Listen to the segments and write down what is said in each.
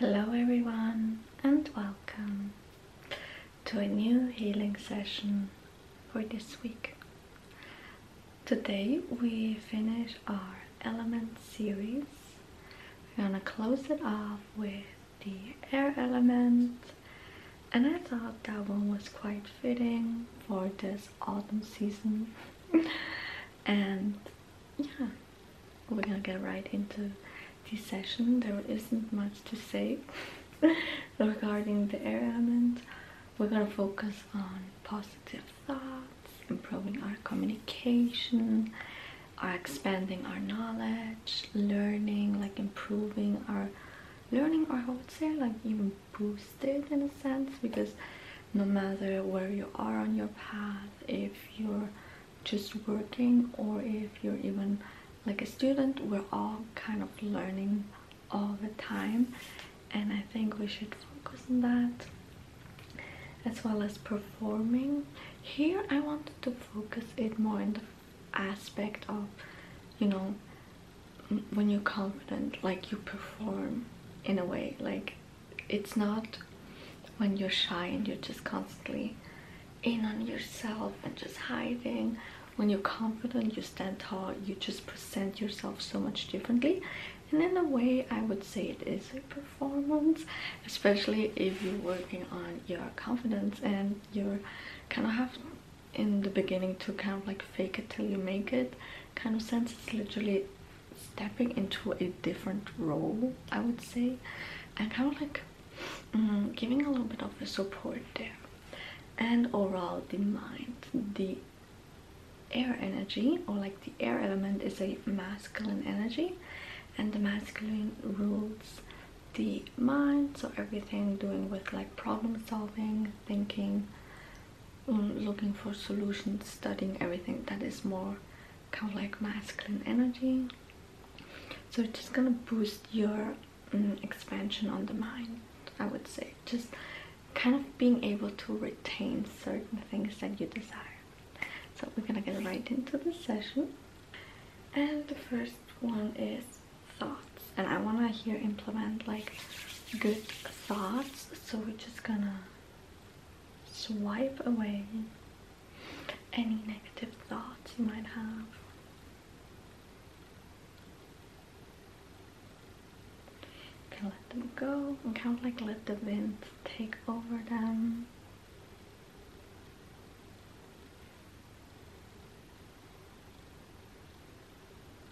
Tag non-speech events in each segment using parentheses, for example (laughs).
Hello everyone and welcome to a new healing session for this week. Today we finish our element series. We're gonna close it off with the air element and I thought that one was quite fitting for this autumn season (laughs) and yeah we're gonna get right into this session. There isn't much to say (laughs) regarding the element. We're gonna focus on positive thoughts, improving our communication, are expanding our knowledge, learning, like improving our learning, or I would say like even boosted in a sense because no matter where you are on your path, if you're just working or if you're even like a student we're all kind of learning all the time and I think we should focus on that as well as performing here I wanted to focus it more in the aspect of you know when you're confident like you perform in a way like it's not when you're shy and you're just constantly in on yourself and just hiding when you're confident you stand tall you just present yourself so much differently and in a way i would say it is a performance especially if you're working on your confidence and you're kind of have in the beginning to kind of like fake it till you make it kind of sense it's literally stepping into a different role i would say and kind of like mm, giving a little bit of a support there and overall the mind the air energy or like the air element is a masculine energy and the masculine rules the mind so everything doing with like problem solving thinking looking for solutions, studying everything that is more kind of like masculine energy. So it's just gonna boost your mm, expansion on the mind, I would say. Just kind of being able to retain certain things that you desire. So we're gonna get right into the session. And the first one is thoughts. And I wanna here implement like good thoughts. So we're just gonna swipe away any negative thoughts you might have. You can let them go and kind of like let the wind take over them.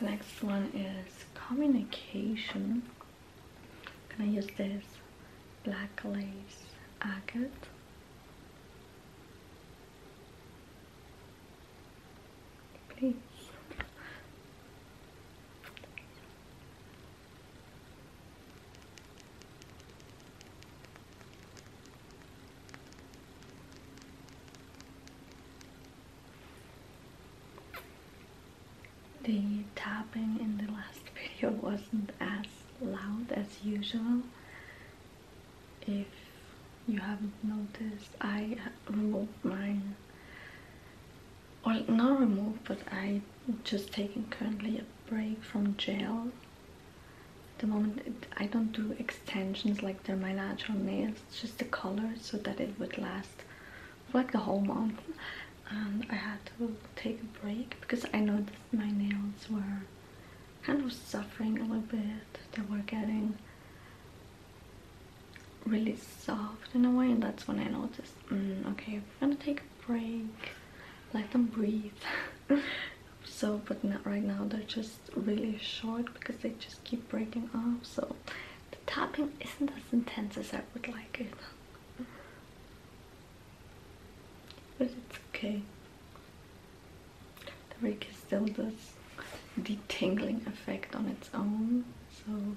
The next one is communication. I'm gonna use this black lace agate please the tapping in the last (laughs) video wasn't as loud as usual. If you haven't noticed, I removed mine. Well, not removed, but I just taking currently a break from gel. At the moment, I don't do extensions like they're my natural nails, It's just the color so that it would last like the whole month and I had to take a break because I noticed my nails were kind of suffering a little bit. They were getting really soft in a way and that's when I noticed, mm, okay, I'm gonna take a break, let them breathe. (laughs) so, but not right now, they're just really short because they just keep breaking off. So the tapping isn't as intense as I would like it. But it's okay. The rig still does detangling effect on its own, so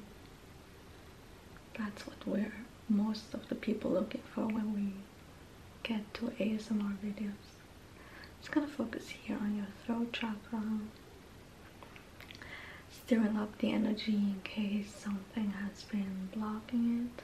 that's what we're most of the people looking for when we get to ASMR videos. i just gonna focus here on your throat chakra stirring up the energy in case something has been blocking it.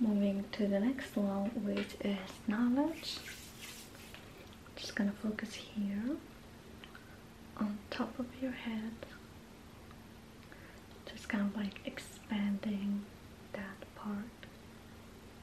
Moving to the next one, which is knowledge. Just gonna focus here on top of your head. Just kind of like expanding that part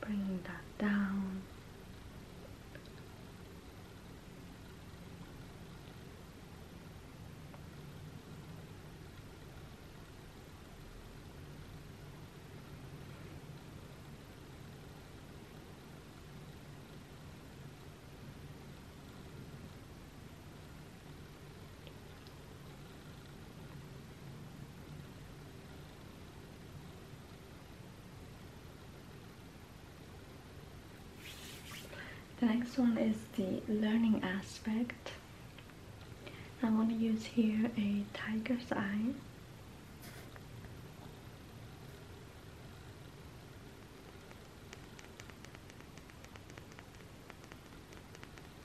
Bring that down. The next one is the learning aspect. I'm going to use here a tiger's eye.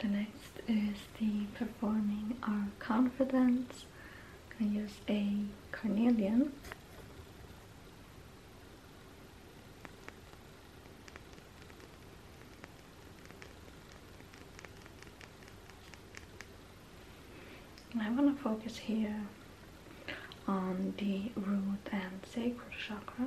The next is the performing our confidence. I am gonna use a carnelian. I want to focus here on the root and sacral chakra.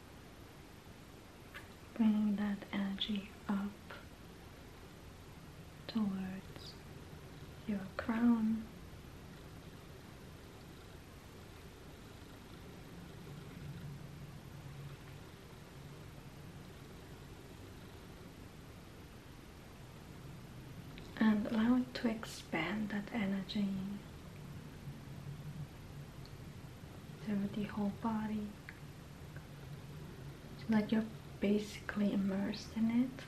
Bringing that energy up towards your crown. and allow it to expand that energy over the whole body so that you're basically immersed in it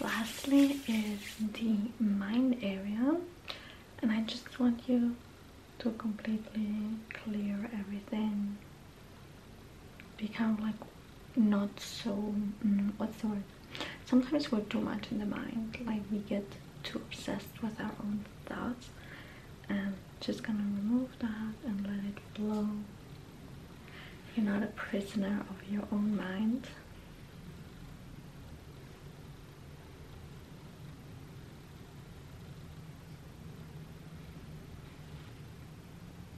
Lastly is the mind area and I just want you to completely clear everything become like not so mm, what's the word sometimes we're too much in the mind like we get too obsessed with our own thoughts and just gonna remove that and let it flow you're not a prisoner of your own mind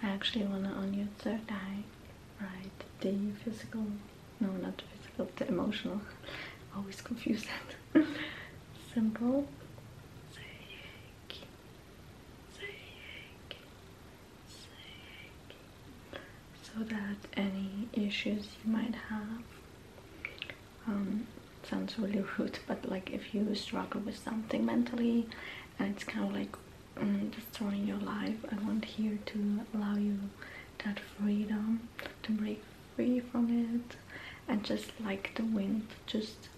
I actually want to on your third eye right the physical no not the physical the emotional (laughs) always confuse that (laughs) simple so that any issues you might have um, sounds really (laughs) rude but like if you struggle with something mentally and it's kind of like mm, destroying your life I want here to allow you that freedom to break free from it and just like the wind just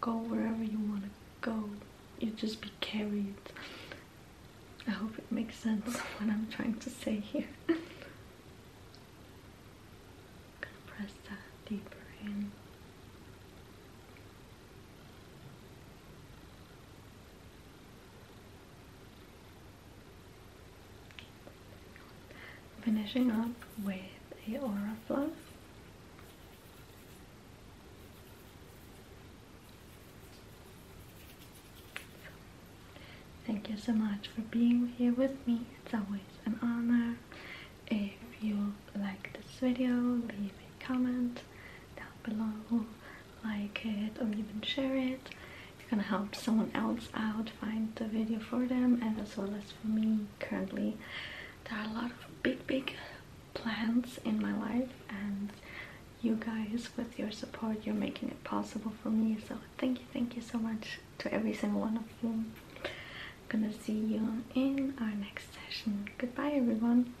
go wherever you want to go you just be carried I hope it makes sense what I'm trying to say here (laughs) gonna press that deeper in Finishing up with a aura fluff. Thank you so much for being here with me. It's always an honor. If you like this video, leave a comment down below like it or even share it you're gonna help someone else out find the video for them and as well as for me currently there are a lot of big big plans in my life and you guys with your support you're making it possible for me so thank you thank you so much to every single one of you gonna see you in our next session goodbye everyone